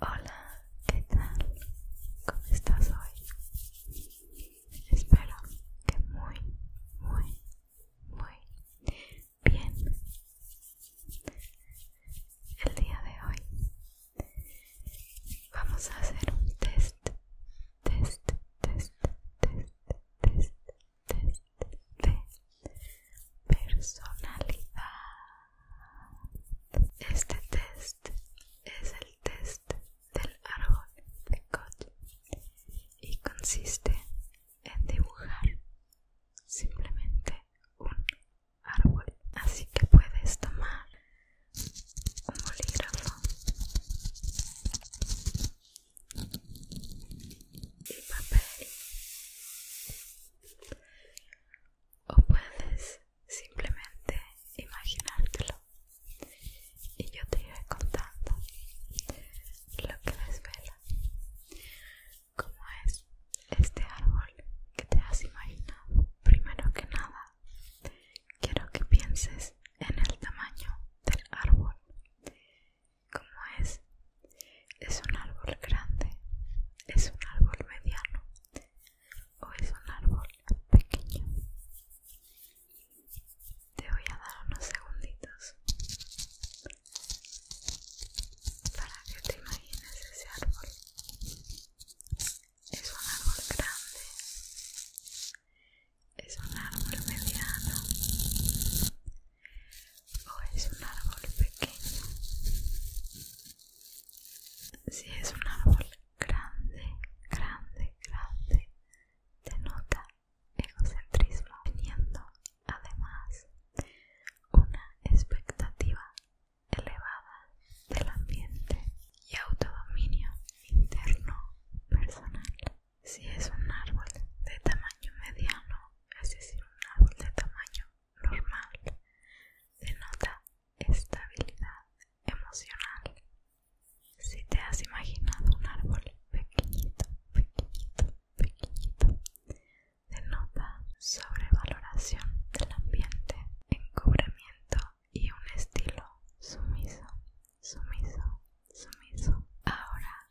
Hola, ¿qué tal? ¿Cómo estás hoy? Espero que muy, muy, muy bien. El día de hoy vamos a hacer un test, test, test, test, test, test de personalidad. Este test es el test del árbol de Koch y consiste en dibujar simplemente un árbol. Así que puedes tomar un bolígrafo y papel o puedes simplemente imaginártelo y yo te iré contando lo que desvela Como es este árbol que te has imaginado primero que nada quiero que pienses en el tamaño del árbol como es es un árbol grande es un árbol mediano o es un árbol pequeño. Te voy a dar unos segunditos para que te imagines ese árbol. Es un árbol grande, es un árbol mediano o es un árbol pequeño. Si es un árbol grande, grande, grande, denota egocentrismo, teniendo además una expectativa elevada del ambiente y autodominio interno personal. Si es un árbol de tamaño mediano, es decir, un árbol de tamaño normal, denota estabilidad emocional. Si te has imaginado un árbol pequeñito, pequeñito, pequeñito, denota sobrevaloración del ambiente, encubrimiento y un estilo sumiso, sumiso, sumiso. Ahora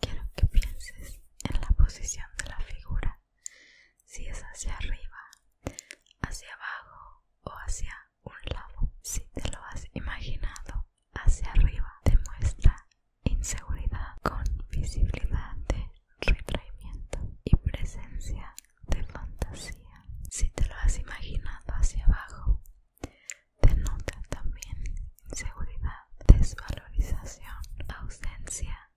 quiero que pienses en la posición de la figura si es hacia arriba, hacia abajo o hacia un lado. Si te lo has imaginado hacia arriba, demuestra inseguridad con visibilidad de retraimiento y presencia de fantasía. Si te lo has imaginado hacia abajo, denota también inseguridad, desvalorización, ausencia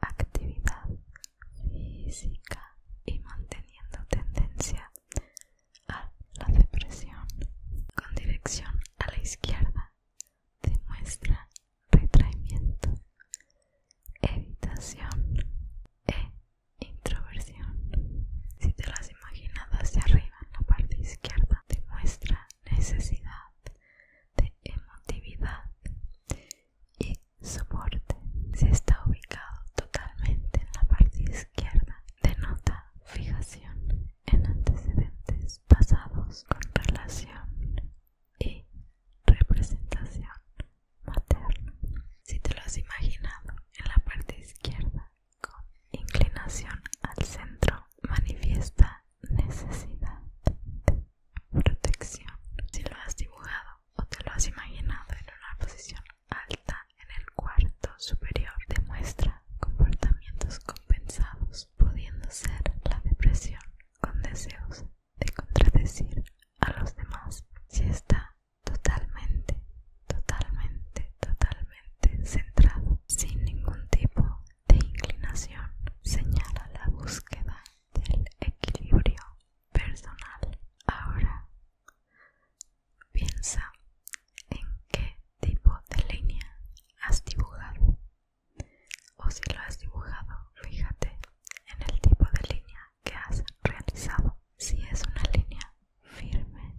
de actividad física y manteniendo tendencia a la depresión con dirección a la izquierda demuestra retraimiento, evitación e introversión. Si te las imaginadas de hacia arriba en la parte izquierda demuestra necesidad de emotividad y soporte. Si está ubicado totalmente en la parte izquierda, denota fijación en antecedentes pasados con relación y representación materna. Si te lo has imaginado en la parte izquierda con inclinación al centro, manifiesta necesidad protección. Si lo has dibujado o te lo has imaginado en una posición alta en el cuarto superior, demuestra comportamientos compensados, pudiendo ser la depresión con deseos de contradecir a los demás. Si está totalmente, totalmente, totalmente centrado, sin ningún tipo de inclinación, señala la búsqueda del equilibrio personal. Ahora piensa en qué tipo de línea has dibujado. O si lo has dibujado, fíjate en el tipo de línea que has realizado. Si es una línea firme,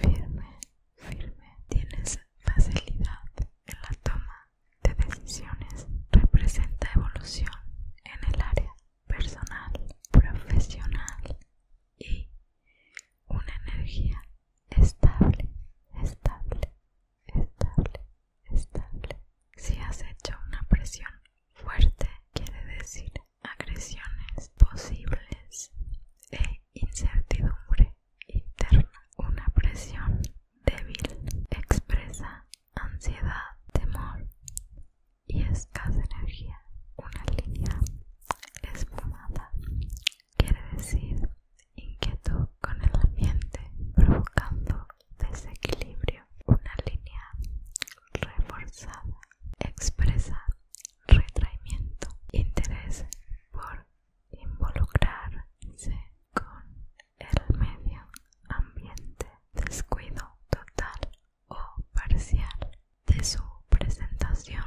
firme, firme, tienes facilidad en la toma de decisiones representa evolución en el área personal, profesional y una energía estable, estable, estable, estable. Si has hecho una presión fuerte, quiere decir agresiones posibles e incertidumbre interna. Una presión débil expresa ansiedad, temor y escasa energía. Una línea espumada, quiere decir inquietud con el ambiente provocando desequilibrio. Una línea reforzada expresa retraimiento, interés por involucrarse con el medio ambiente, descuido total o parcial de su presentación,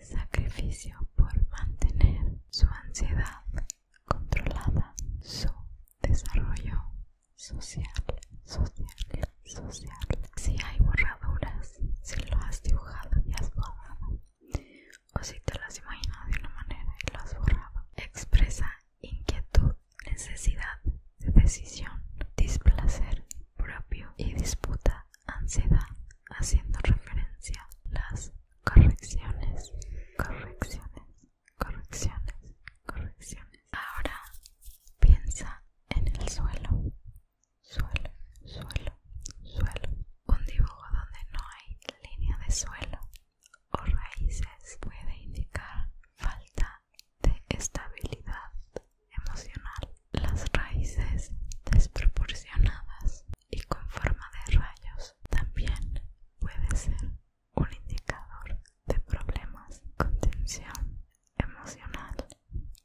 sacrificio por mantener su ansiedad controlada, su desarrollo social, social, social. Si hay borraduras, si lo has dibujado y has borrado, o si te las imaginas de una manera y lo has borrado, expresa inquietud, necesidad de decisión, displacer propio y disputa, ansiedad, haciendo referencia las correcciones, correcciones, correcciones, correcciones. Ahora piensa en el suelo, suelo, suelo, suelo. Un dibujo donde no hay línea de suelo, o raíces puede indicar falta de estabilidad emocional. Las raíces desproporcionadas y con forma de rayos también puede ser un indicador de problemas con tensión emocional,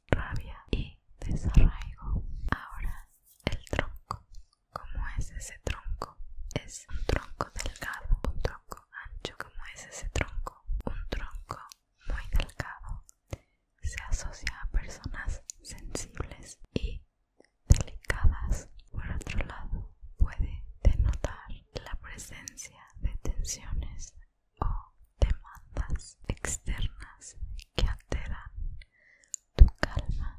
rabia y desarraigo. Ahora el tronco. ¿Cómo es ese tronco? Es un tronco delgado, ancho como es ese tronco, un tronco muy delgado, se asocia a personas sensibles y delicadas. Por otro lado, puede denotar la presencia de tensiones o demandas externas que alteran tu calma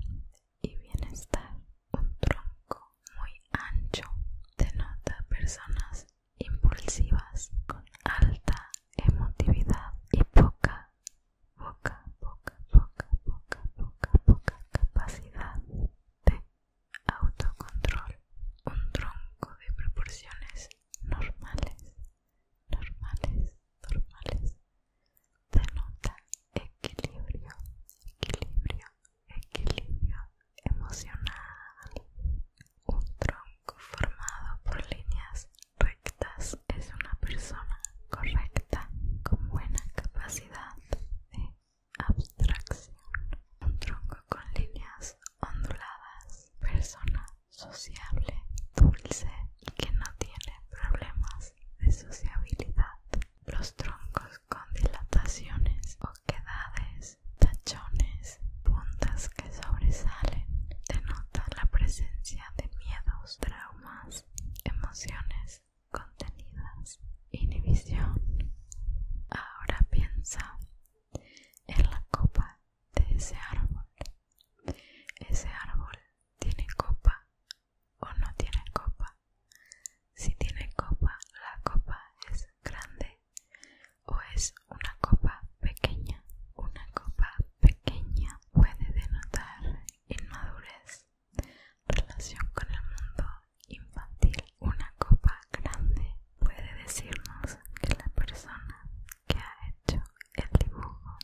y bienestar. Un tronco muy ancho denota personas impulsivas con alta emotividad y poca, poca, poca, poca, poca, poca, poca capacidad de autocontrol. Un tronco de proporciones normales, normales, normales denota equilibrio, equilibrio, equilibrio emocional. Un tronco formado por líneas rectas es una persona correcta con buena capacidad de abstracción. Un tronco con líneas onduladas, persona sociable, dulce y que no tiene problemas de sociabilidad. Los troncos con dilataciones, oquedades, tachones, puntas que sobresalen. Denota la presencia de miedos, traumas, emociones contenidas, inhibición. Ahora piensa en la copa de ese árbol. Ese árbol tiene copa o no tiene copa. Si tiene copa, la copa es grande o es una copa pequeña. Una copa pequeña puede denotar inmadurez, relación con el mundo infantil. Una copa grande puede decirnos que la persona que ha hecho el dibujo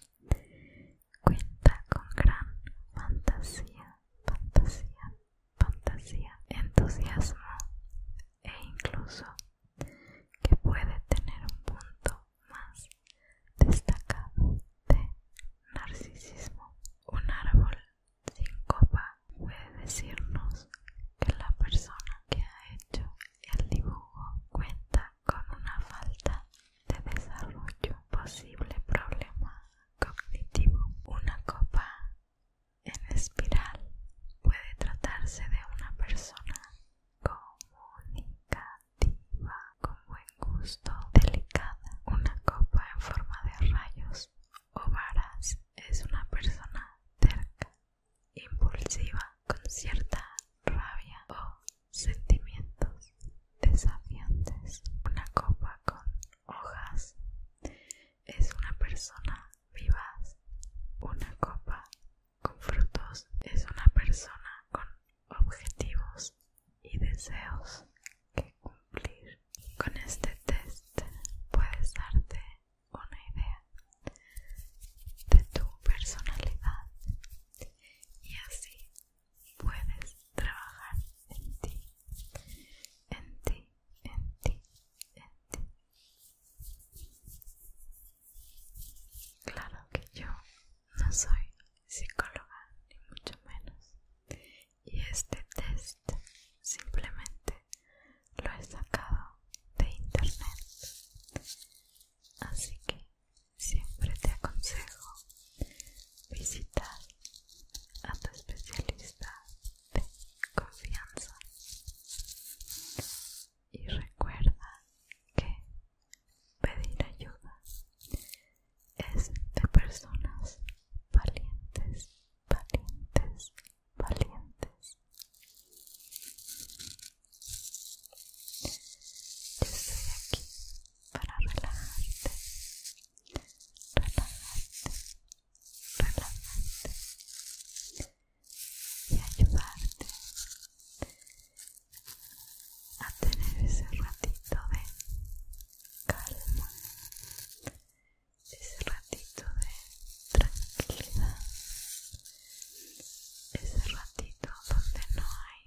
cuenta con gran fantasía, fantasía fantasía, entusiasmo e incluso que puede tener un punto más destacado de narcisismo. Un árbol sin copa puede decirnos que la persona que ha hecho el dibujo cuenta con una falta de desarrollo, posible problema cognitivo. Una copa en espiral puede tratarse de una persona comunicativa, con buen gusto, delicada. Una copa en forma de rayos o varas es una persona terca, impulsiva, con cierta rabia o sentimientos desafiantes. Una copa con hojas es una persona vivaz. Una copa con frutos es una persona con objetivos y deseos que cumplir. Con este test puedes darte una idea de tu personalidad y así puedes trabajar en ti, en ti, en ti, en ti. Claro que yo no soy psicóloga, ni mucho menos. Y este test simplemente lo he sacado de internet. Así que siempre te aconsejo visitar a tu especialista de confianza y recuerda que pedir ayuda es de personas valientes, valientes, valientes. Yo estoy aquí para relajarte relajarte, relajarte y ayudarte a tener ese ratito de calma, ese ratito de tranquilidad, ese ratito donde no hay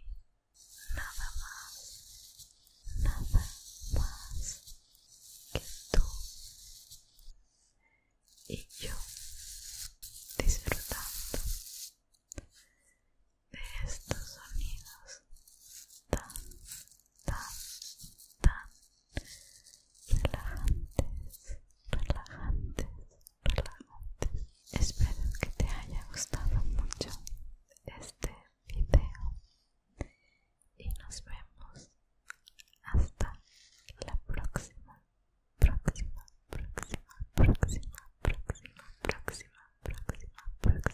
nada más, nada más que tú y yo disfrutando de estos sonidos tan, tan, tan relajantes, relajantes, relajantes. Espero que te haya gustado mucho este video y nos vemos hasta la próxima, próxima, próxima, próxima, próxima, próxima, próxima, próxima.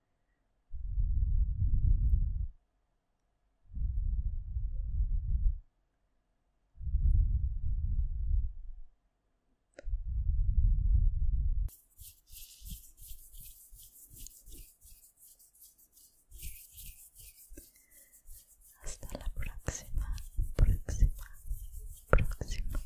Hasta la próxima, próxima, próxima.